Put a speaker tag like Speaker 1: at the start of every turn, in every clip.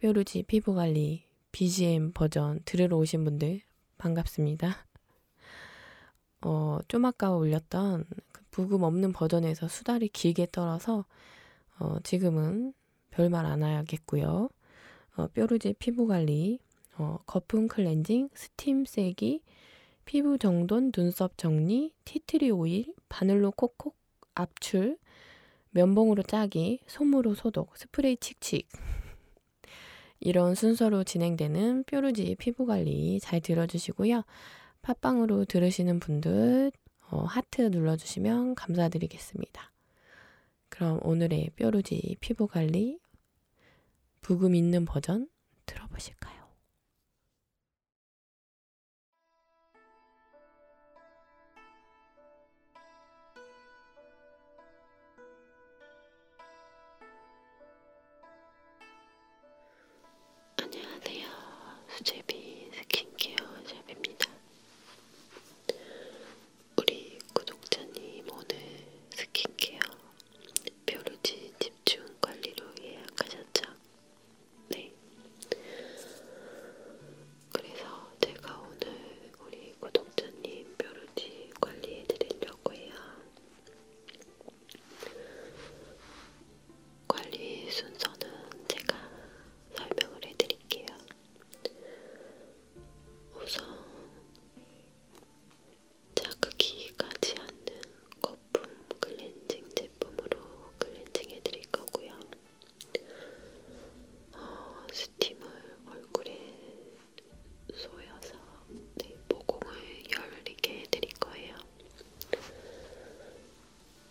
Speaker 1: 뾰루지 피부관리 BGM 버전 들으러 오신 분들 반갑습니다. 어, 좀 아까 올렸던 그 부금 없는 버전에서 수다를 길게 떨어서 어, 지금은 별말 안 하야겠고요. 어, 뾰루지 피부관리, 어, 거품 클렌징, 스팀 세기, 피부 정돈, 눈썹 정리, 티트리 오일, 바늘로 콕콕 압출, 면봉으로 짜기, 솜으로 소독, 스프레이 칙칙. 이런 순서로 진행되는 뾰루지 피부 관리 잘 들어주시고요. 팟빵으로 들으시는 분들 어, 하트 눌러주시면 감사드리겠습니다. 그럼 오늘의 뾰루지 피부 관리 부금 있는 버전 들어보실까요?
Speaker 2: 안녕하세요. 수제비 스킨케어 샵입니다. 우리 구독자님 오늘 스킨케어 뾰루지 집중 관리로 예약하셨죠? 네. 그래서 제가 오늘 우리 구독자님 뾰루지 관리해 드리려고 해요. 관리 순서는 제가 설명을 해 드릴게요. 우선 자극이 가지 않는 거품 클렌징 제품으로 클렌징 해드릴 거고요. 어, 스팀을 얼굴에 쏘여서 네, 모공을 열리게 해드릴 거예요.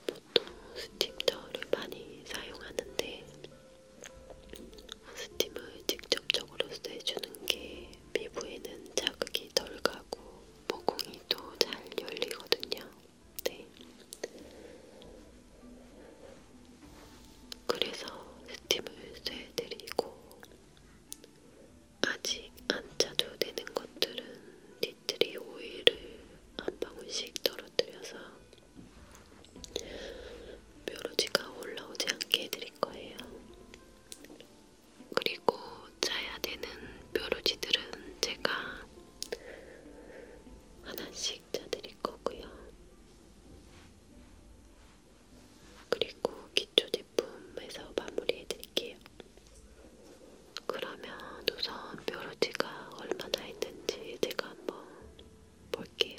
Speaker 2: 보통 스팀저를 많이 사용하는데 스팀을 직접적으로 쐬주는 게 피부에는 자극이 덜 가고 모공이 또 잘 열리거든요. 네. 그래서 스팀을 쐬드리고 아직 안 짜도 되는 것들은 니트리 오일을 한 방울씩 떨어뜨려서 뾰루지가 올라오지 않게 해드릴 거예요. 그리고 짜야 되는 뾰루지들은 제가 하나씩 액자 드릴 거고요. 그리고 기초 제품에서 마무리해 드릴게요. 그러면 우선 뾰루지가 얼마나 있는지 제가 한번 볼게요.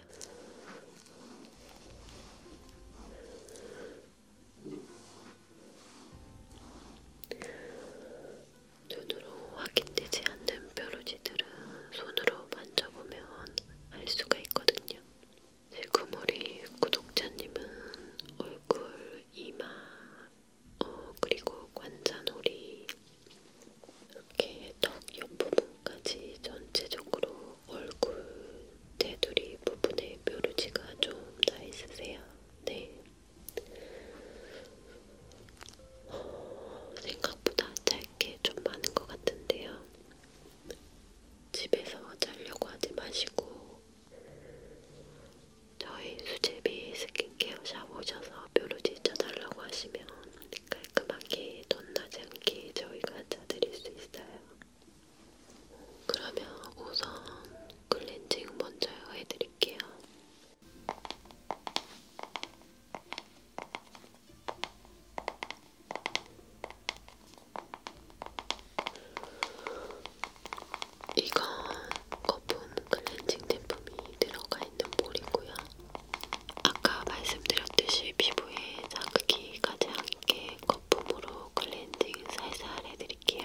Speaker 2: 눈으로 확인되지 않는 뾰루지들은 손으로 만져보면 알 수가 있거든요. 지금 우리 구독자님은 얼굴, 이마, 어, 그리고 관자놀이 이렇게 턱 옆부분까지 전체적으로 얼굴 테두리 부분에 뾰루지가 좀나 있으세요. 네. 생각보다 짧게 좀 많은 것 같은데요. 집에서 자려고 하지 마시고 저희 수제비 스킨케어 샵 오셔서 뾰루지 짜달라고 하시면 깔끔하게 덧나지 않게 저희가 짜드릴 수 있어요. 그러면 우선 클렌징 먼저 해드릴게요. 이건 거품 클렌징 제품이 들어가 있는 볼이고요. 아까 말씀드렸듯이 피부에 자극이 가지 않게 거품으로 클렌징 살살 해드릴게요.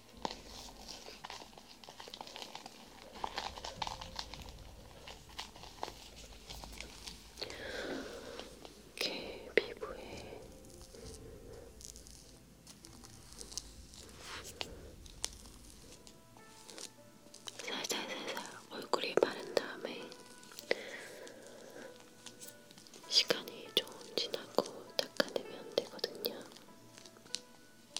Speaker 2: 이렇게 피부에 살살살살 얼굴에 바른 다음에 시간이 좀 지나고 닦아내면 되거든요.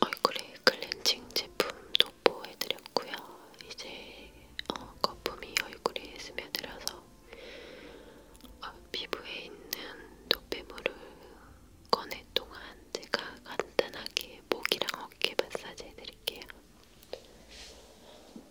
Speaker 2: 얼굴에 클렌징 제품 도포해드렸고요. 이제 어, 거품이 얼굴에 스며들어서 어, 피부에 있는 노폐물을 꺼낼 동안 제가 간단하게 목이랑 어깨 마사지 해드릴게요.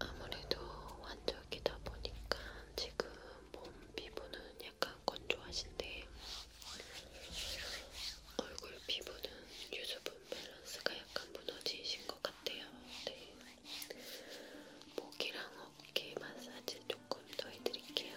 Speaker 2: 아무래도 환절기다 보니까 지금 몸 피부는 약간 건조하신데 얼굴 피부는 유수분 밸런스가 약간 무너지신 것 같아요. 네. 목이랑 어깨 마사지 조금 더 해드릴게요.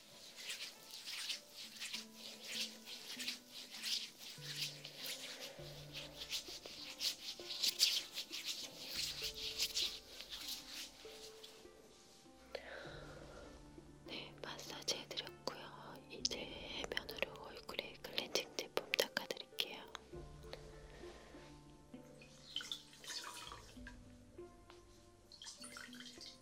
Speaker 2: 네, 마사지 해드렸고요. 이제 해면으로 얼굴에 클렌징 제품 닦아드릴게요.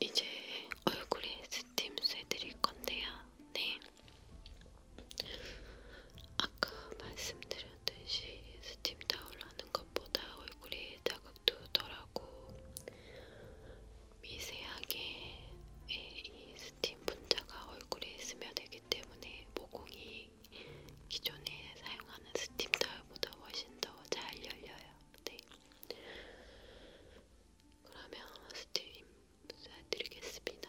Speaker 2: 이제 얼굴에 스팀스 해드릴 건데요. 네. 아까 말씀드린 하듯이 스팀 타올 하는 것보다 얼굴에 자극도 덜하고 미세하게 예, 이 스팀 분자가 얼굴에 스며들기 때문에 모공이 기존에 사용하는 스팀 타올보다 훨씬 더 잘 열려요. 네. 그러면 스팀 쏴드리겠습니다.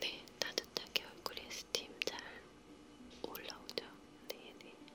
Speaker 2: 네, 따뜻하게 얼굴에 스팀 잘 올라오죠? 네, 네. 네,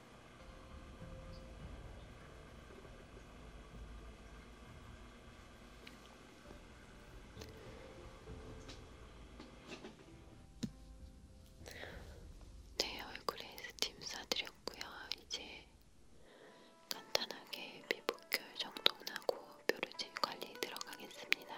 Speaker 2: 제 네, 얼굴에 스팀 싸드렸고요. 이제 간단하게 피부결 정돈하고 뾰루지 관리 들어가겠습니다.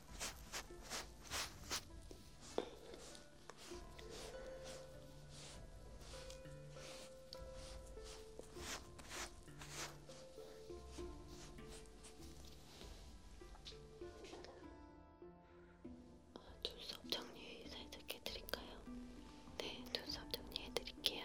Speaker 2: 눈썹 정리 살짝 해드릴까요? 네, 눈썹 정리해드릴게요.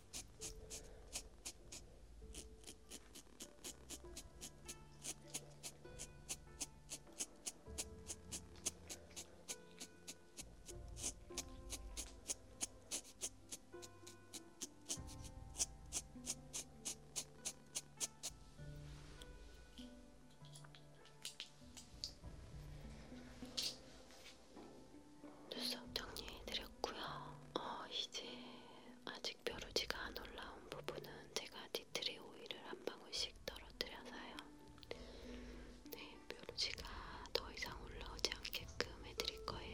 Speaker 2: 눈썹 정리해드렸고요. 어, 이제 아직 벼루지가 안 올라온 부분은 제가 디트리 오일을 한 방울씩 떨어뜨려서요. 네, 벼루지가 더 이상 올라오지 않게끔 해드릴 거예요.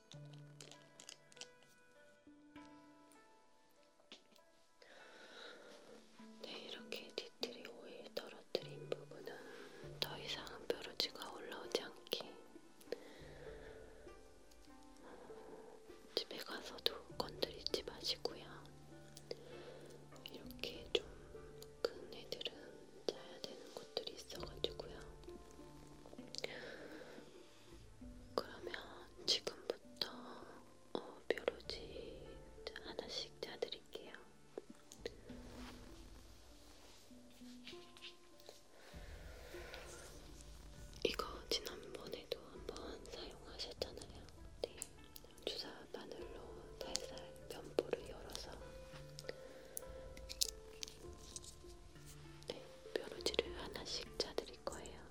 Speaker 2: 네, 이렇게 뒤틀이 오일 떨어뜨린 부분은 더 이상은 뾰루지가 올라오지 않게 집에 가서도 건드리지 마시고요. 이렇게 좀 큰 애들은 짜야 되는 것들이 있어가지고요. 그러면 지금부터 어, 뾰루지 하나씩 짜드릴게요. 이거 지난번에도 한번 사용하셨잖아요. 네. 주사 바늘로 살살 면보를 열어서 네, 뾰루지를 하나씩 짜드릴 거예요.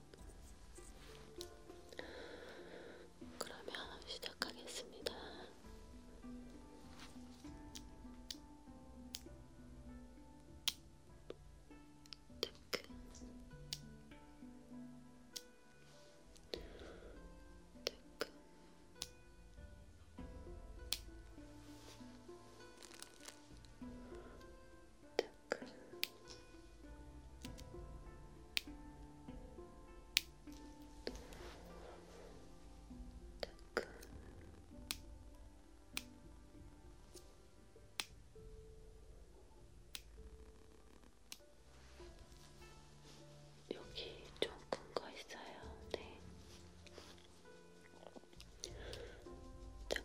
Speaker 2: 그러면 시작하겠습니다. 뜨끈 뜨끈 여기 좀 큰 거 있어요. 네. 따끔,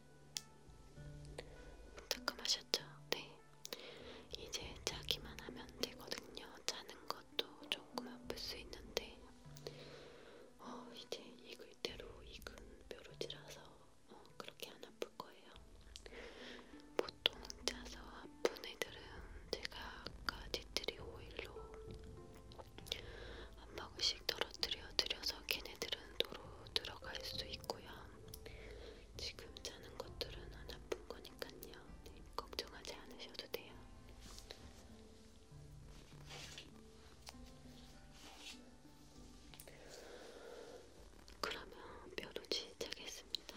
Speaker 2: 따끔하셨죠? 네. 이제 자기만 하면 되거든요. 자는 것도 조금 아플 수 있는데, 어, 이제 익을 대로 익은 뾰루지라서 어, 그렇게 안 아플 거예요. 보통 자서 아픈 애들은 제가 아까 디트리 오일로 한 방울씩 떨어뜨려 드려서 걔네들은 도로 들어갈 수 있고요. 지금 자는 것들은 안 아픈 거니까요. 네, 걱정하지 않으셔도 돼요. 그러면 뾰루지 짜겠습니다.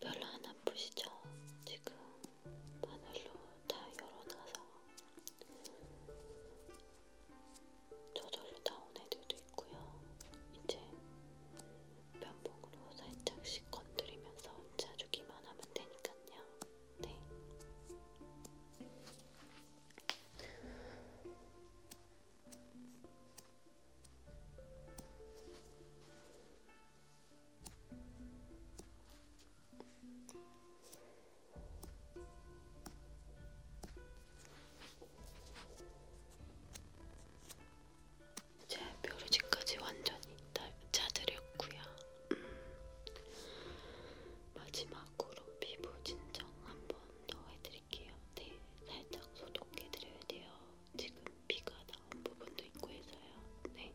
Speaker 2: 별로 안 아프시죠? 지금 바늘로 다 열어놔서 저절로 나온 애들도 있고요. 이제 면봉으로 살짝씩 건드리면서 짜주기만 하면 되니까요. 네. 제 뾰루지까지 완전히 짜드렸구요. 음. 마지막으로 피부 진정 한 번 더 해드릴게요. 네, 살짝 소독해드려야 돼요. 지금 피가 나온 부분도 있고 해서요. 네.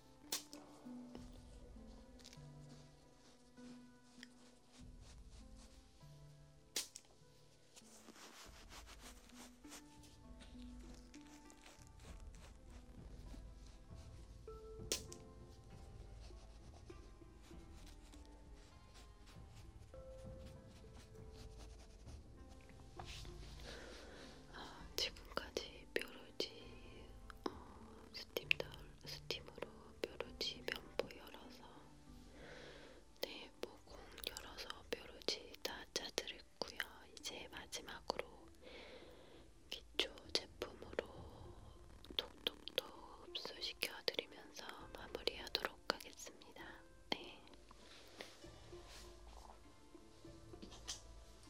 Speaker 2: 아, 지금까지 뾰루지 어, 스팀 덜, 스팀으로 뾰루지 면보 열어서 네모공 열어서 뾰루지 다 짜드렸고요. 이제 마지막으로 기초 제품으로 톡톡톡 흡수시켜드리면서 마무리하도록 하겠습니다. 네.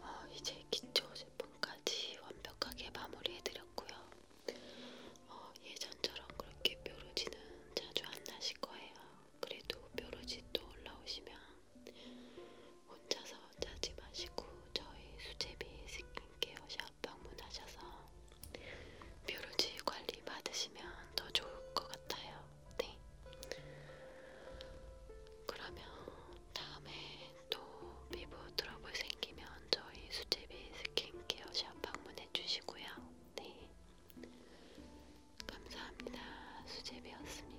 Speaker 2: 어, 이제 기초 제품까지 완벽하게 마무리해드렸고요. 어, 예전처럼 그렇게 뾰루지는 자주 안 나실 거예요. 그래도 뾰루지 또 올라오시면 혼자서 짜지 마시고 저희 수제비 스킨케어샵 방문하셔서 뾰루지 관리 받으시면 더 좋을 것 같아요. 네. 그러면 다음에 또 피부 트러블 생기면 저희 수제비 스킨케어 샵 방문해 주시고요. 네. 감사합니다. 수제비였습니다.